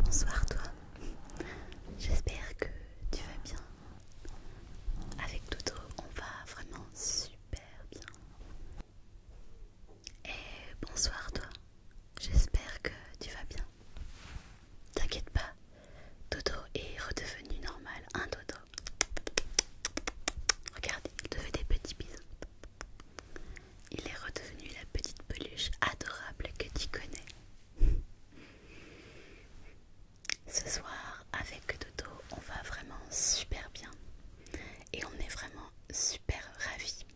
Bonsoir toi, j'espère que tu vas bien. Avec Toto, on va vraiment super bien. Et bonsoir toi, j'espère que tu vas bien. T'inquiète pas, Toto est redevenu normal, Un hein, Toto Regardez, il te fait des petits bisous. Il est redevenu la petite peluche adorable que tu connais. Ce soir, avec Dodo, on va vraiment super bien. Et on est vraiment super ravis.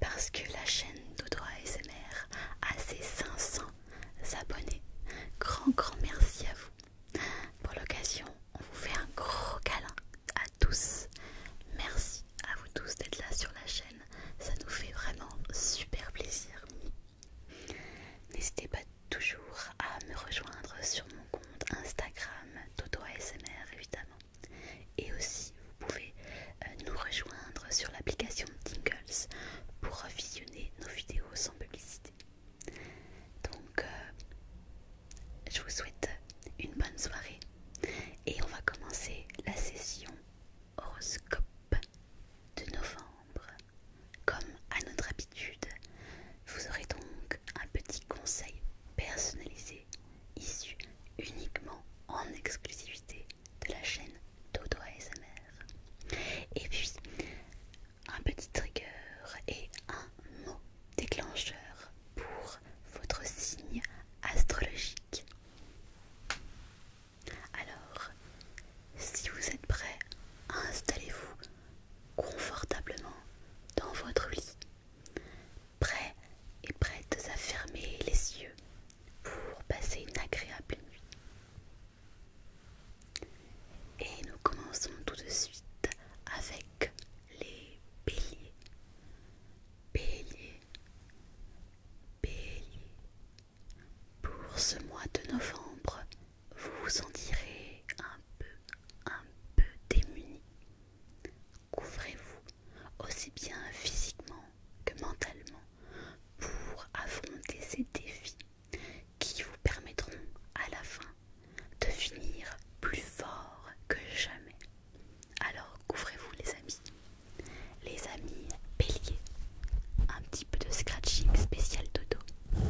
Parce que la chaîne Dodo ASMR a ses 500 abonnés. Grand, grand merci à vous. Pour l'occasion, on vous fait un gros câlin à tous. Merci à vous tous d'être là sur la chaîne, ça nous fait vraiment super plaisir. N'hésitez pas toujours à me rejoindre sur mon compte Instagram TotoASMR évidemment. Et aussi vous pouvez euh, nous rejoindre sur l'application Tingles pour visionner nos vidéos sans publicité. Donc euh, je vous souhaite une bonne soirée et on va commencer la session horoscope de novembre. Comme à notre habitude, vous aurez donc un petit conseil personnalisé issu uniquement en exclusivité de la chaîne Dodo ASMR. Et puis un petit trigger et un mot déclencheur pour votre signe astrologique. Alors, si vous êtes prêt, installez-vous confortablement dans votre lit, prêt et prêtes à fermer les yeux pour passer une agréable nuit. Et nous commençons tout de suite avec les béliers. Bélier, bélier, pour ce mois de novembre, vous vous sentirez un peu, un peu démuni. Couvrez-vous aussi bien physiquement que mentalement pour affronter ces défis qui vous permettront à la fin de finir plus fort que jamais. Alors couvrez-vous les amis. Les amis béliers. Un petit peu de scratching spécial dodo.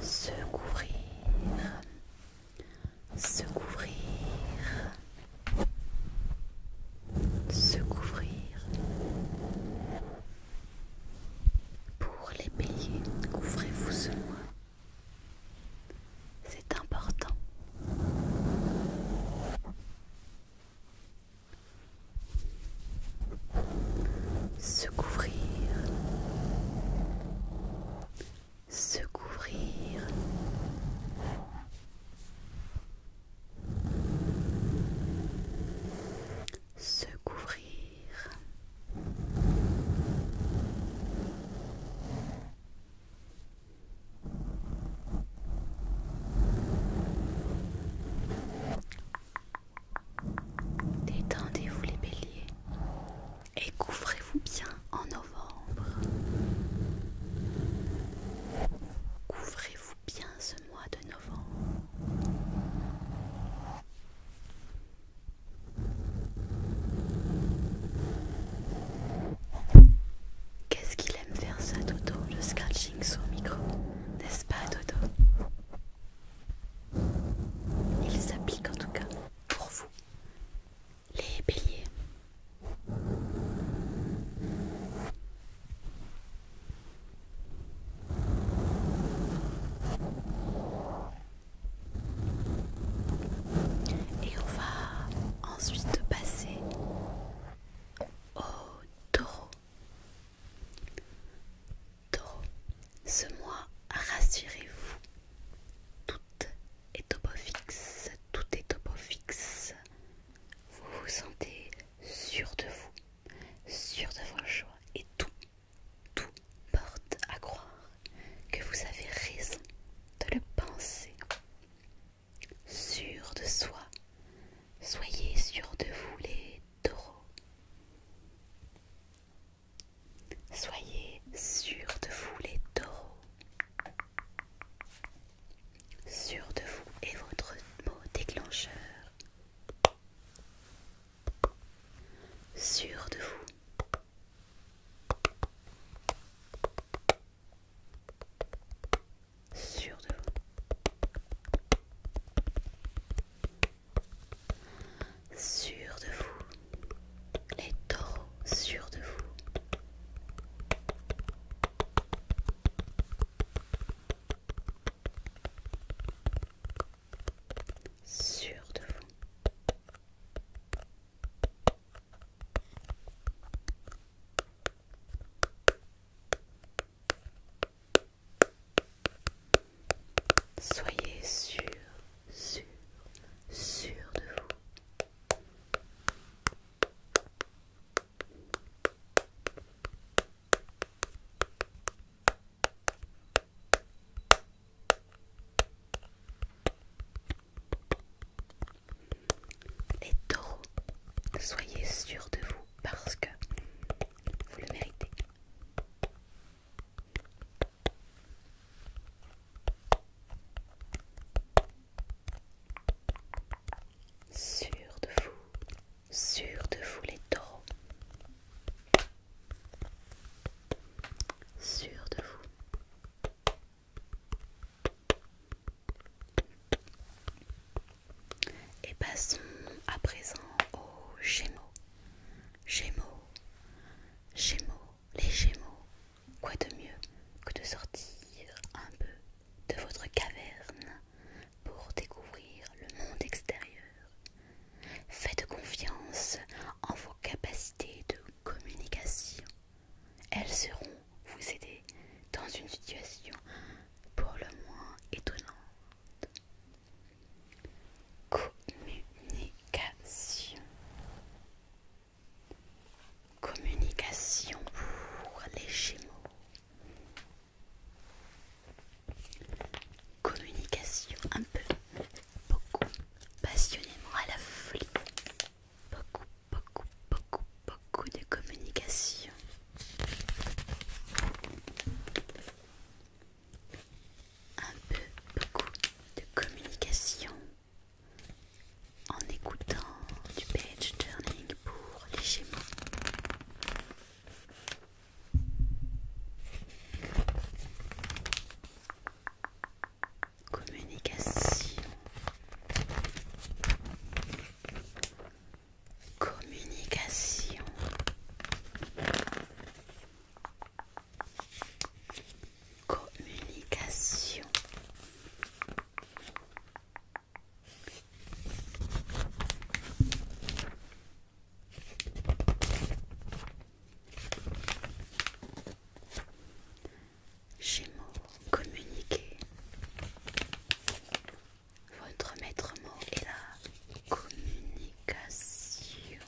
Se couvrir. Se couvrir. Se couvrir. Pour les béliers, couvrez-vous ce mois. C'est important. Se couvrir, se couvrir. Se couvrir. Détendez-vous les béliers et couvrez-vous bien en novembre. Couvrez-vous bien ce mois de novembre. Qu'est-ce qu'il aime faire ça, Toto, le scratching sur micro, n'est-ce pas, Toto Il s'applique en tout cas pour vous, les béliers. Et on va ensuite passer au taureau. Taureau, ce mois, rassurez-vous, tout est au fixe, tout est au Vous vous sentez sûr de vous, sûr de vos choix et tout tout porte à croire que vous avez raison de le penser. Sûr de soi, soyez sûr de vous les taureaux. Soyez sûr de vous les taureaux. Sûr de vous est votre mot déclencheur. Sûr de vous Sûr de vous. Sûr de vous. Les taureaux, sûrs de vous. Sûr de vous. Soyez sûr, sûr, sûr de vous. Les taureaux, soyez sûrs de vous parce que vous le méritez. Sûr de vous, sûr de vous les taureaux sûr de vous. Et passons à présent aux Gémeaux. Gémeaux, Gémeaux, les Gémeaux. Quoi de mieux que de sortir un peu de votre caverne pour découvrir le monde extérieur Faites confiance en vos capacités de communication. Elles seront vous aider dans une situation pour le moins étonnante. Communication. Communication pour les Gémeaux. Communication un peu beaucoup, passionnément à la folie, beaucoup, beaucoup, beaucoup, beaucoup de communication. Un peu, beaucoup de communication en écoutant du page turning pour les Gémeaux. Communication. Communication. Communication. Gémeaux, communiquer. Votre maître mot est la communication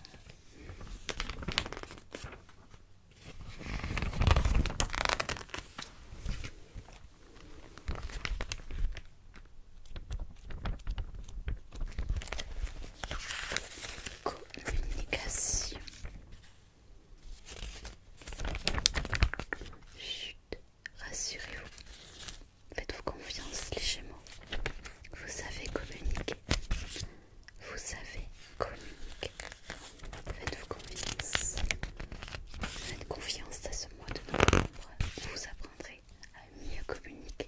communication. Chut, rassurez-vous. Faites-vous confiance les Vous savez communiquer. Vous savez communiquer. Faites-vous confiance. Faites confiance à ce mois de novembre. Vous apprendrez à mieux communiquer.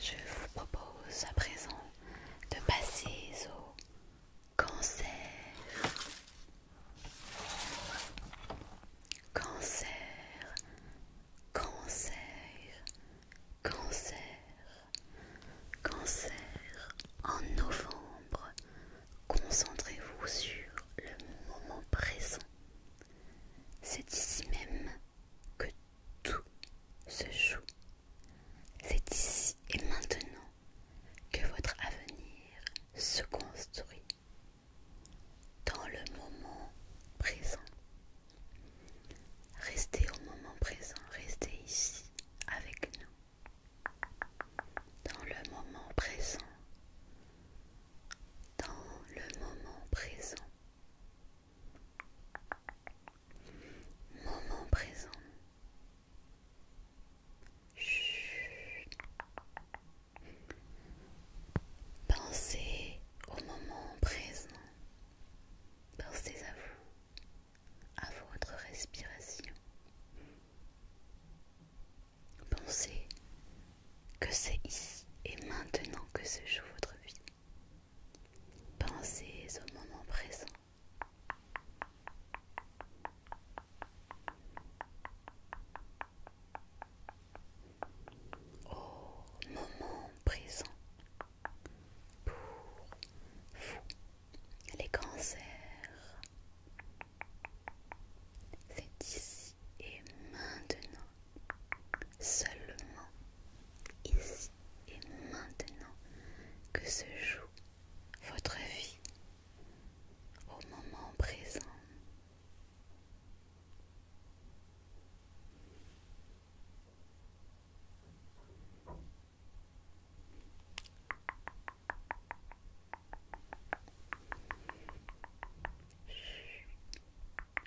Je vous propose à présent de passer au cancer. Cancer, cancer, Cancer. Cancer, en novembre, concentrez-vous sur le moment présent. C'est ici même que tout se joue. C'est ici et maintenant que votre avenir se construit. Dans le moment présent. Restez au moment présent, restez ici avec nous dans le moment présent, dans le moment présent, moment présent. Chut. Pensez au moment présent. Pensez à vous à votre respiration. Pensez que c'est ici et maintenant que se joue votre vie. Pensez au moment présent. Au moment présent pour vous les cancers. C'est ici et maintenant, seulement ici et maintenant que se joue votre vie au moment présent.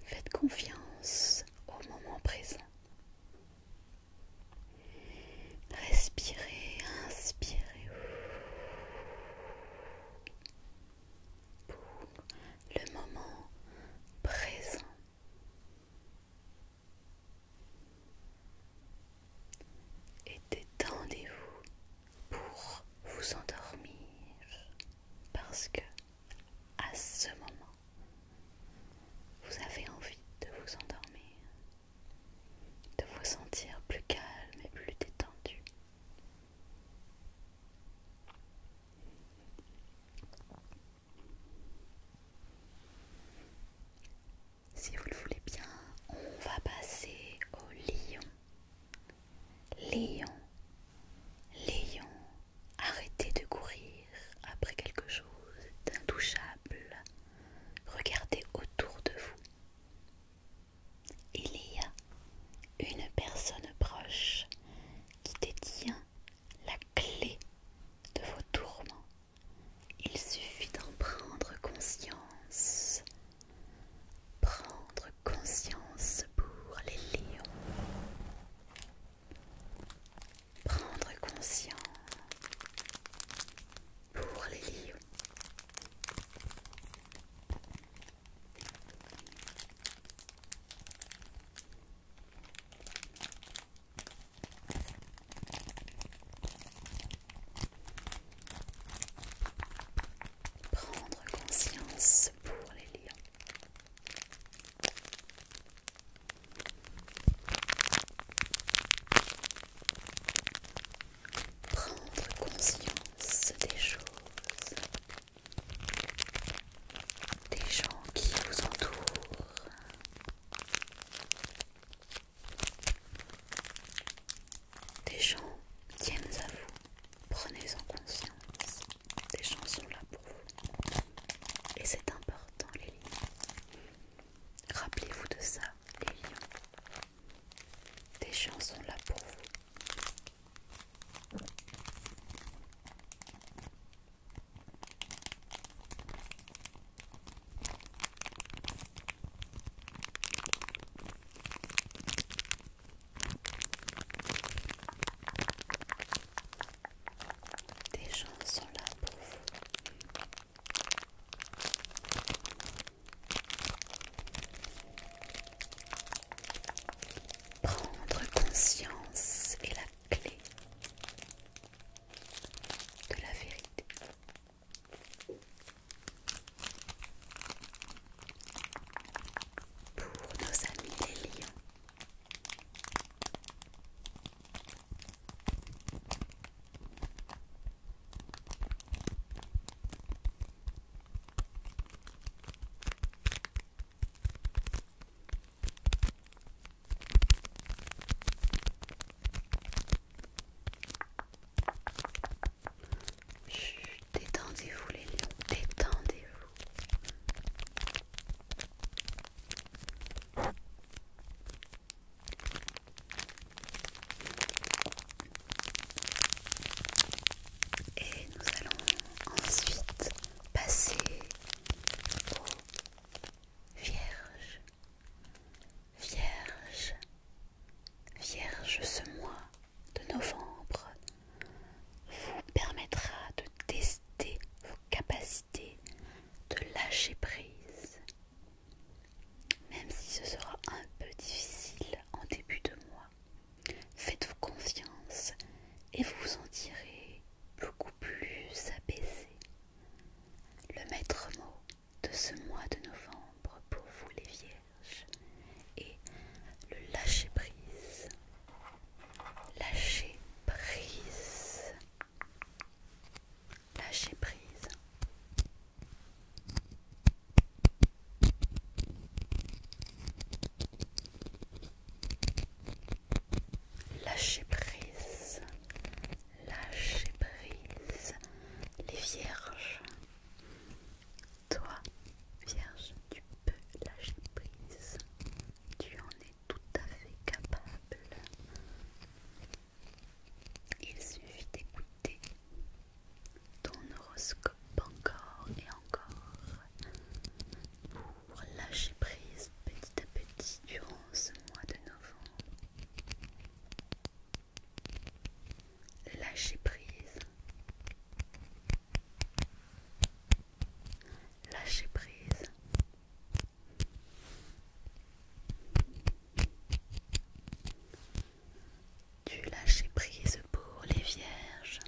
Faites confiance au moment présent. Respirez, inspirez pour le moment présent et détendez-vous pour vous endormir parce que à ce moment vous avez envie de vous endormir, de vous sentir plus calme et plus détendu. Si vous le voulez bien, on va passer au lion. Lion, lion, arrêtez de courir après quelque chose d'intouchable. Regardez autour de vous. Il y a une personne proche qui détient la clé de vos tourments. Il suffit d'en prendre conscience. Prendre conscience pour les lions. Prendre conscience pour les lions. Prendre conscience pour les liens. Prendre conscience des choses, des gens qui vous entourent, des gens tiennent à vous, prenez-en conscience. Des gens sont là pour vous. Et c'est important, les lions. Rappelez-vous de ça, les lions. Des gens sont là pour vous. Des gens sont là pour vous. Prendre conscience et la clé de la vérité. Pour nos amis les lions. Détendez-vous les lions, détendez-vous. Et nous allons ensuite passer Vierge, Vierge, Vierge, ce mois de novembre vous permettra de tester vos capacités de lâcher prise, même si ce sera un peu difficile en début de mois. Faites-vous confiance et vous vous sentirez beaucoup plus apaisé. Le maître mot de ce mois de novembre pour vous les vierges est le lâcher prise. Lâcher prise. Lâcher prise. Lâcher prise. Lâcher prise les vierges. Toi, vierge, tu peux lâcher prise. Tu en es tout à fait capable. Il suffit d'écouter ton horoscope encore et encore pour lâcher prise petit à petit durant ce mois de novembre. Lâcher prise. Lâcher prise. Tu lâcher prise pour les vierges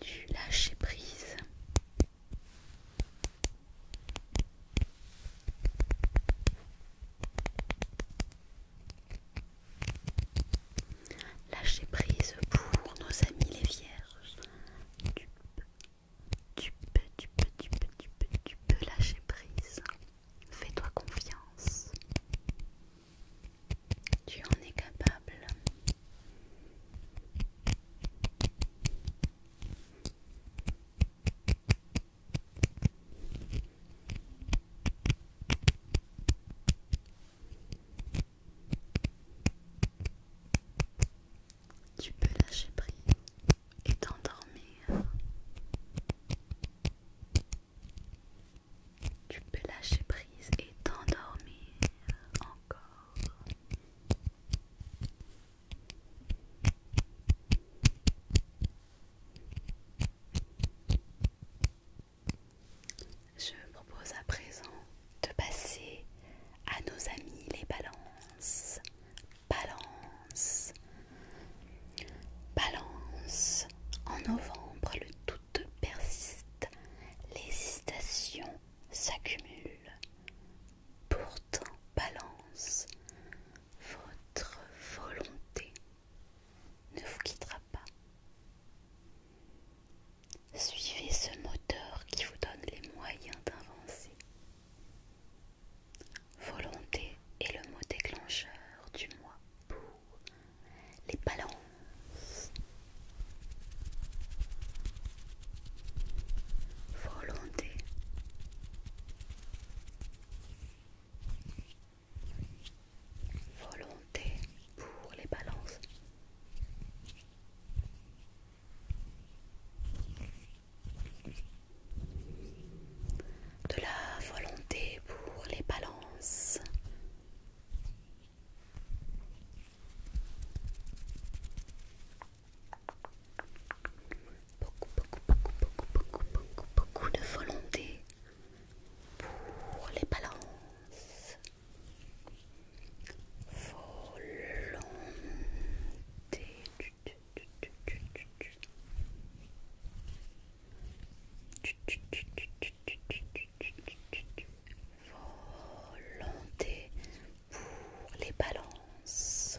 du lâcher prise. Lâcher prise pour nos amis les vierges tu peux, tu peux, tu peux, tu peux, tu peux lâcher prise. Fais-toi confiance. Tu en es capable tu peux lâcher prise et t'endormir. Tu peux lâcher prise et t'endormir encore. Je propose à présent de passer à nos amis les balances Balance. Balance. En novembre, le doute persiste. les L'hésitation s'accumulent, Pourtant, balance. Votre volonté ne vous quittera pas. Suivez ce moteur qui vous donne les moyens d'avancer. Volonté est le mot déclencheur du mois pour les balances. Volonté. Volonté pour les balances de la volonté pour les balances. Beaucoup, beaucoup, beaucoup, beaucoup, beaucoup, beaucoup, beaucoup de volonté pour les balances. Volonté. Volonté pour les balances.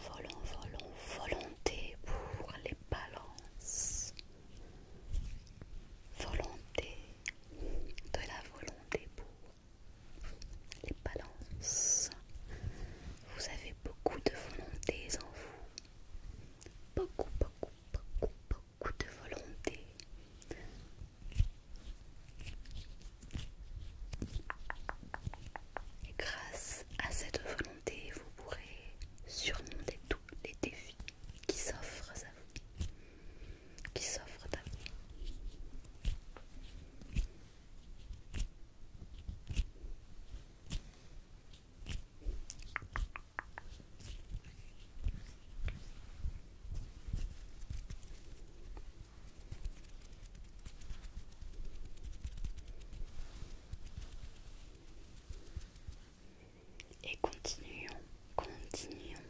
Volons, volons, volonté pour les balances. Volonté, de la volonté pour les balances, vous avez beaucoup de volonté en vous, beaucoup, beaucoup, beaucoup, beaucoup de volonté. Et grâce à cette volonté, vous pourrez surmonter tous les défis qui s'offrent à vous qui s'offre d'amis Et continuons, continuons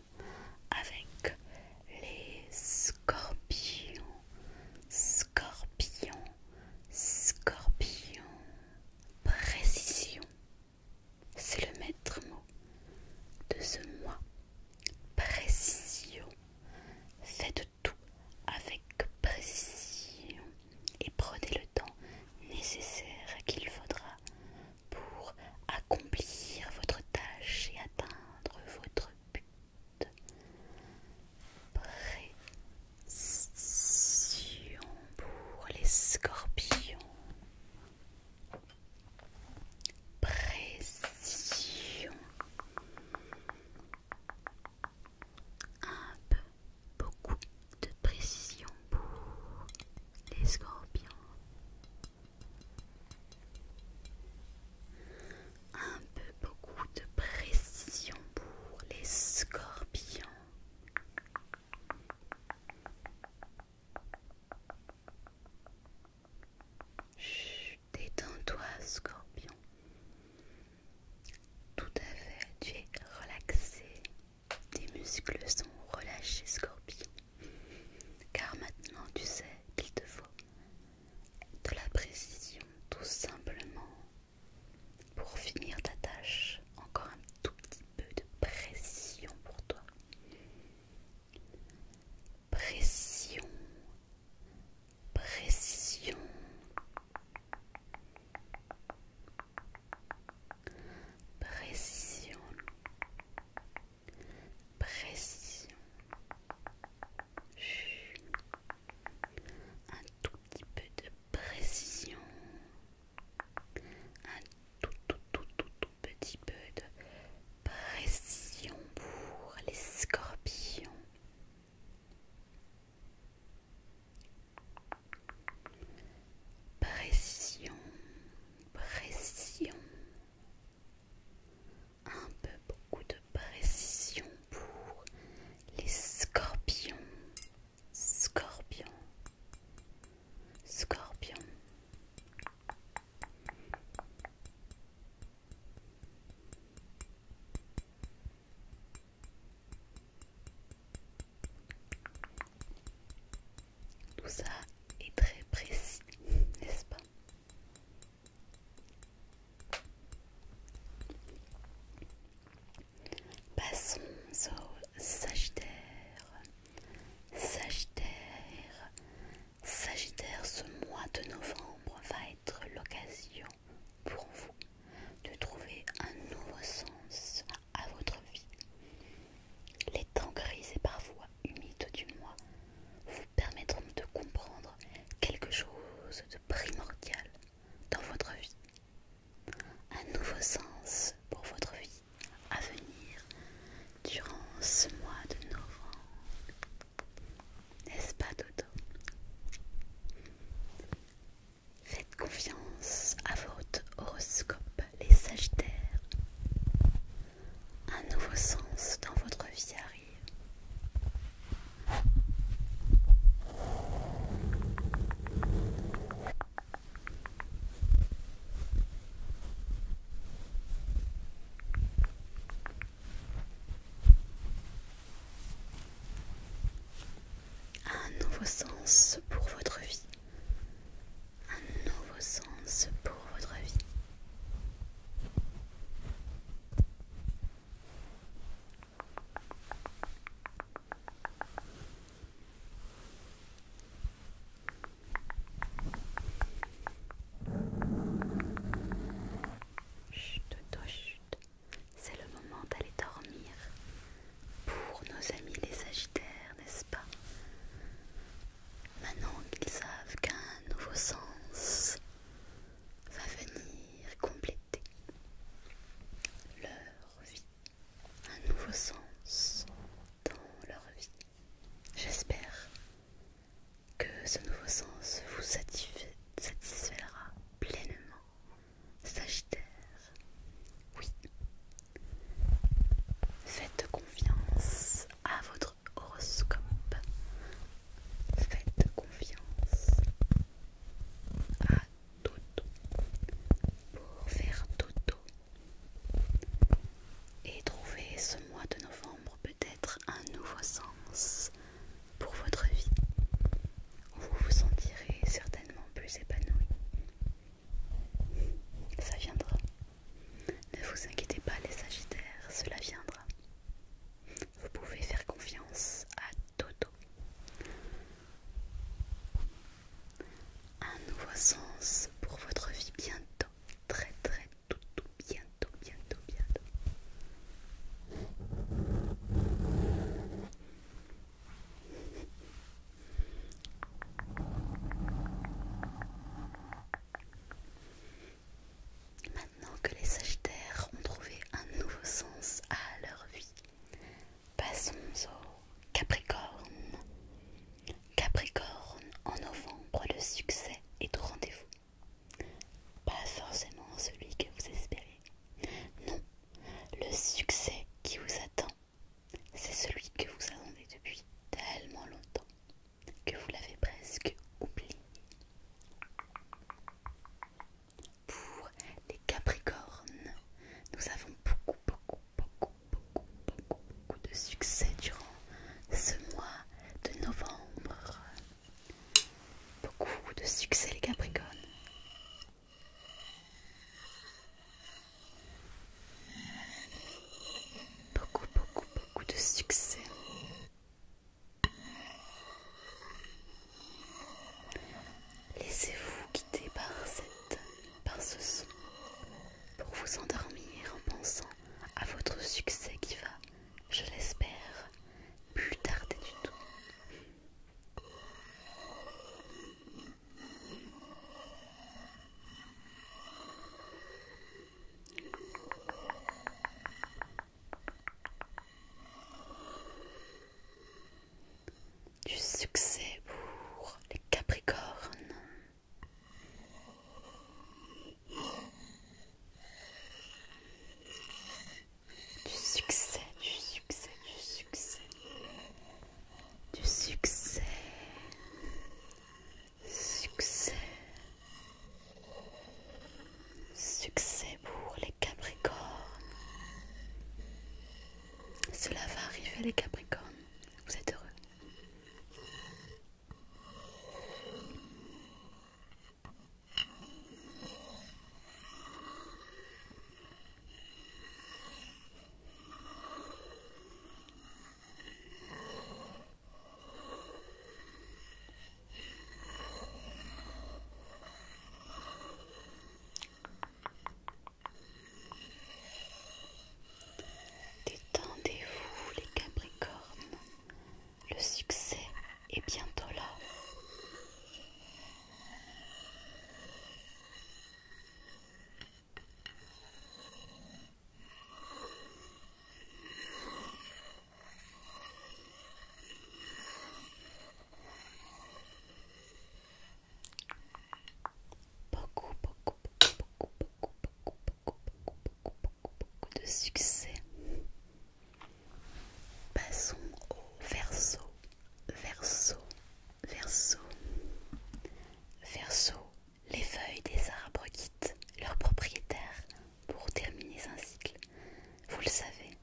avec les scorpions, scorpions, scorpions, précision. C'est le maître mot de ce mois. Précision. Faites tout avec précision et prenez le temps nécessaire qu'il faudra pour accomplir votre tâche et atteindre votre but. pour les scorpions. Précision. Un peu, beaucoup de précision pour les scorpions. Un peu beaucoup de précision pour les scorpions. Chut, Détends-toi, scorpion. Tout à fait, tu es relaxé. Tes muscles sont relâchés, scorpion. Car maintenant tu sais qu'il te faut de la précision tout simplement pour finir ta tâche. Encore un tout petit peu de précision pour toi. Précision. Précision. Précision. Précision précision. Un tout petit peu de précision. Un tout tout tout tout, tout petit peu de précision pour les scorpions. Précision, précision, un peu beaucoup de précision pour les scorpions. Scorpion. Scorpion. Tout ça est très précis, n'est-ce pas Passons au Sagittaire. Sagittaire. Sagittaire, ce mois de novembre va être l'occasion pour vous de trouver un nouveau sens à votre vie. Les temps gris et parfois humides du mois permettront de comprendre quelque chose de primordial dans votre vie. Un nouveau sens pour votre vie à venir durant ce mois de novembre. N'est-ce pas Dodo Faites confiance à votre horoscope, les Sagittaires un nouveau sens dans votre vie arrive. Un nouveau sens pour votre vie. Un nouveau sens pour votre vie. Chut, C'est le moment d'aller dormir pour nos amis les Sagittaires, n'est-ce pas Maintenant qu'ils savent qu'un nouveau sens va venir compléter leur vie, un nouveau sens dans leur vie. J'espère que ce nouveau sens vous satisfera pleinement. Sagittaire, oui. Faites confiance à votre horoscope, Faites confiance à Toto pour faire Toto et trouver ce mois de novembre peut-être un nouveau sens pour votre vie. Vous vous sentirez certainement plus épanoui. Ça viendra. Ne vous inquiétez pas les Sagittaires, cela viendra. Vous pouvez faire confiance à Toto. Un nouveau sens pour votre vie bientôt, très très tout tout bientôt, bientôt, bientôt. Maintenant que les Sagittaires ont trouvé un nouveau sens à leur vie, passons au Capricorne. Capricorne, en novembre, le succès est au rendez-vous. Pas forcément celui que vous espérez. Non, le succès qui vous attend, c'est celui que vous attendez depuis tellement longtemps que vous l'avez presque oublié. Pour les Capricornes, nous avons beaucoup, beaucoup, beaucoup, beaucoup, beaucoup, beaucoup de succès durant ce mois de novembre. Beaucoup de succès les Capricornes. Beaucoup, beaucoup, beaucoup de succès. Laissez-vous quitter par, cette, par ce son pour vous endormir en pensant à votre succès qui va, je l'espère, plus tarder du tout. Du succès pour les Capricornes. Du succès, du succès, du succès. Du succès. Succès. Succès pour les Capricornes. Cela va arriver les Capricornes. Vous êtes heureux. Détendez-vous les Capricornes, le succès est bientôt là. Beaucoup, beaucoup, beaucoup, beaucoup, beaucoup, beaucoup, beaucoup, beaucoup, beaucoup de succès. Passons au verso, verso, verso, verso. Les feuilles des arbres quittent leurs propriétaires pour terminer un cycle. Vous le savez.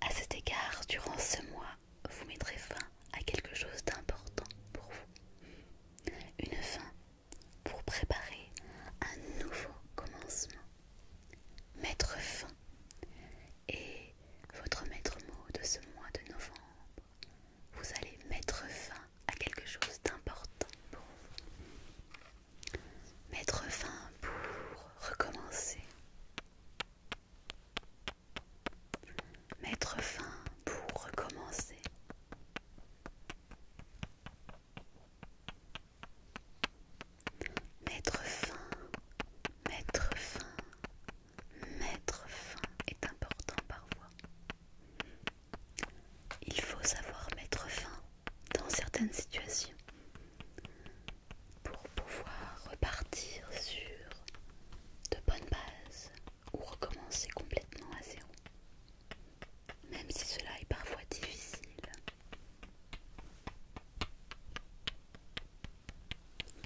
À cet égard, durant ce mois, vous mettrez fin à quelque chose d'important pour vous. Une fin pour préparer un nouveau commencement. Mettre fin Et votre maître mot de ce mois de novembre. Vous allez mettre fin à quelque chose d'important pour vous. Mettre fin pour recommencer. Mettre fin pour recommencer. Mettre fin, mettre fin, mettre fin est important parfois. Il faut savoir mettre fin dans certaines situations pour pouvoir repartir sur de bonnes bases ou recommencer complètement à zéro, même si cela est parfois difficile.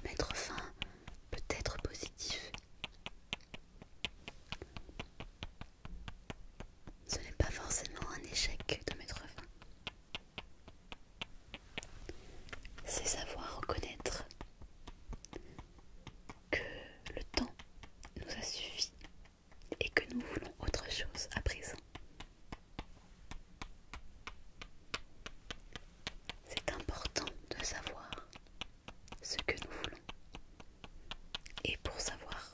Mettre fin peut être positif ce n'est pas forcément un échec de mettre fin. C'est savoir reconnaître que le temps nous a suffi et que nous voulons autre chose à présent. C'est important de savoir ce que nous voulons. Et pour savoir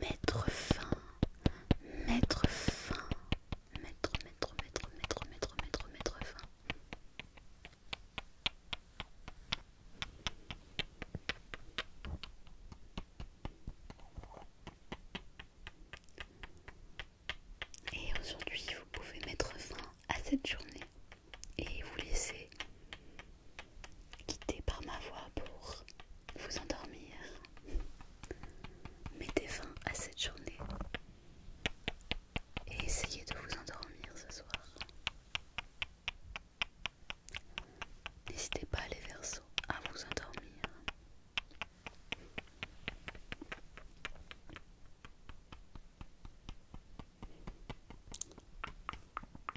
Mettre fin, mettre fin, mettre, mettre, mettre, mettre, mettre, mettre, mettre fin. Et aujourd'hui, vous pouvez mettre fin à cette journée et vous laissez quitter par ma voix pour vous endormir. Mettez fin à cette journée et essayez de vous endormir ce soir. N'hésitez pas les versos à vous endormir.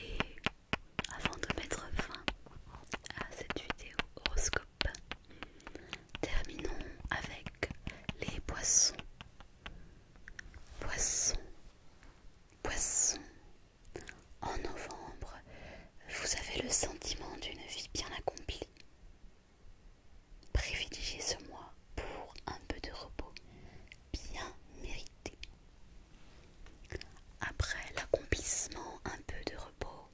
Et avant de mettre fin à cette vidéo horoscope, terminons avec les poissons. Poissons, poissons. En novembre, vous avez le sentiment d'une vie bien accomplie. Privilégiez ce mois pour un peu de repos bien mérité. Après l'accomplissement, un peu de repos,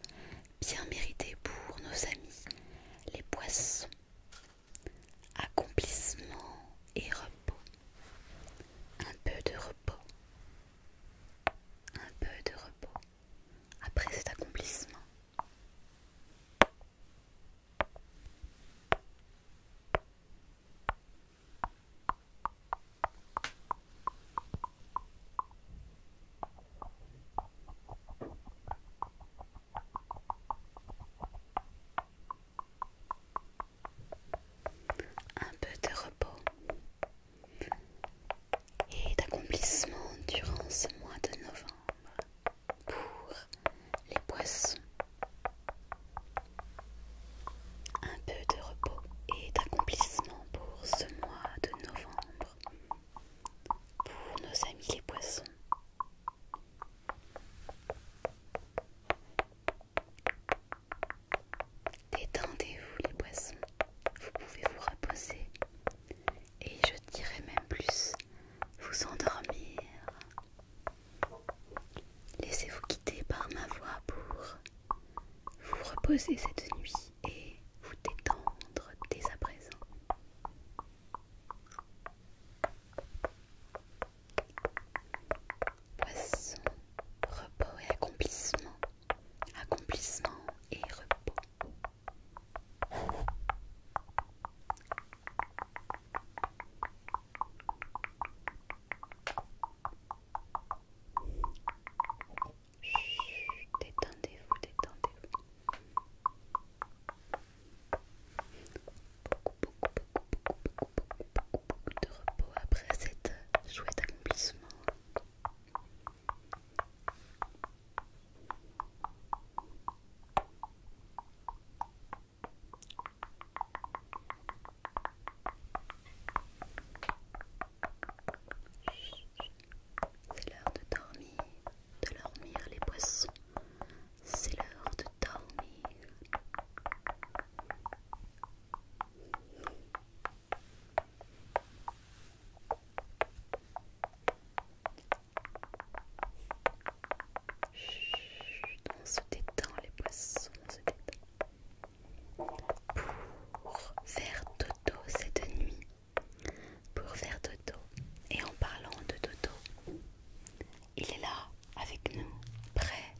bien mérité pour nos amis, les poissons. Accomplissement et repos. Un peu de repos. Un peu de repos. Après cet accomplissement. Un peu de repos et d'accomplissement durant ce mois de novembre pour les poissons. Un peu de repos et d'accomplissement pour ce mois de novembre pour nos amis les poissons. Détendez-vous les poissons, vous pouvez vous reposer et je dirais même plus vous endormir. Laissez-vous quitter par ma voix pour vous reposer cette nuit et vous détendre dès à présent. Poisson, repos et accomplissement. Accomplissement et repos détendez-vous, détendez-vous. Beaucoup, beaucoup, beaucoup, beaucoup, beaucoup, beaucoup de repos après cet euh, chouette accomplissement. C'est l'heure de dormir, de dormir les poissons. C'est l'heure de dormir on se détend les poissons, se Pour faire dodo cette nuit. Pour faire dodo. Et en parlant de dodo, il est là avec nous, prêt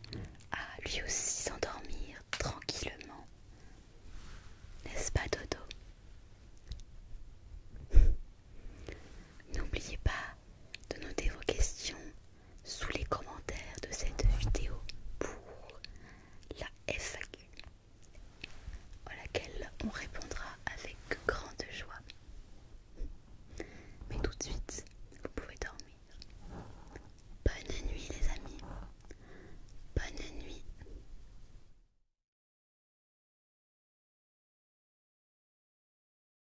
à lui aussi s'endormir tranquillement. N'est-ce pas dodo N'oubliez pas de noter vos questions sous les commentaires de cette vidéo pour la FAQ à laquelle on répondra avec grande joie. Mais tout de suite, vous pouvez dormir. Bonne nuit les amis. Bonne nuit.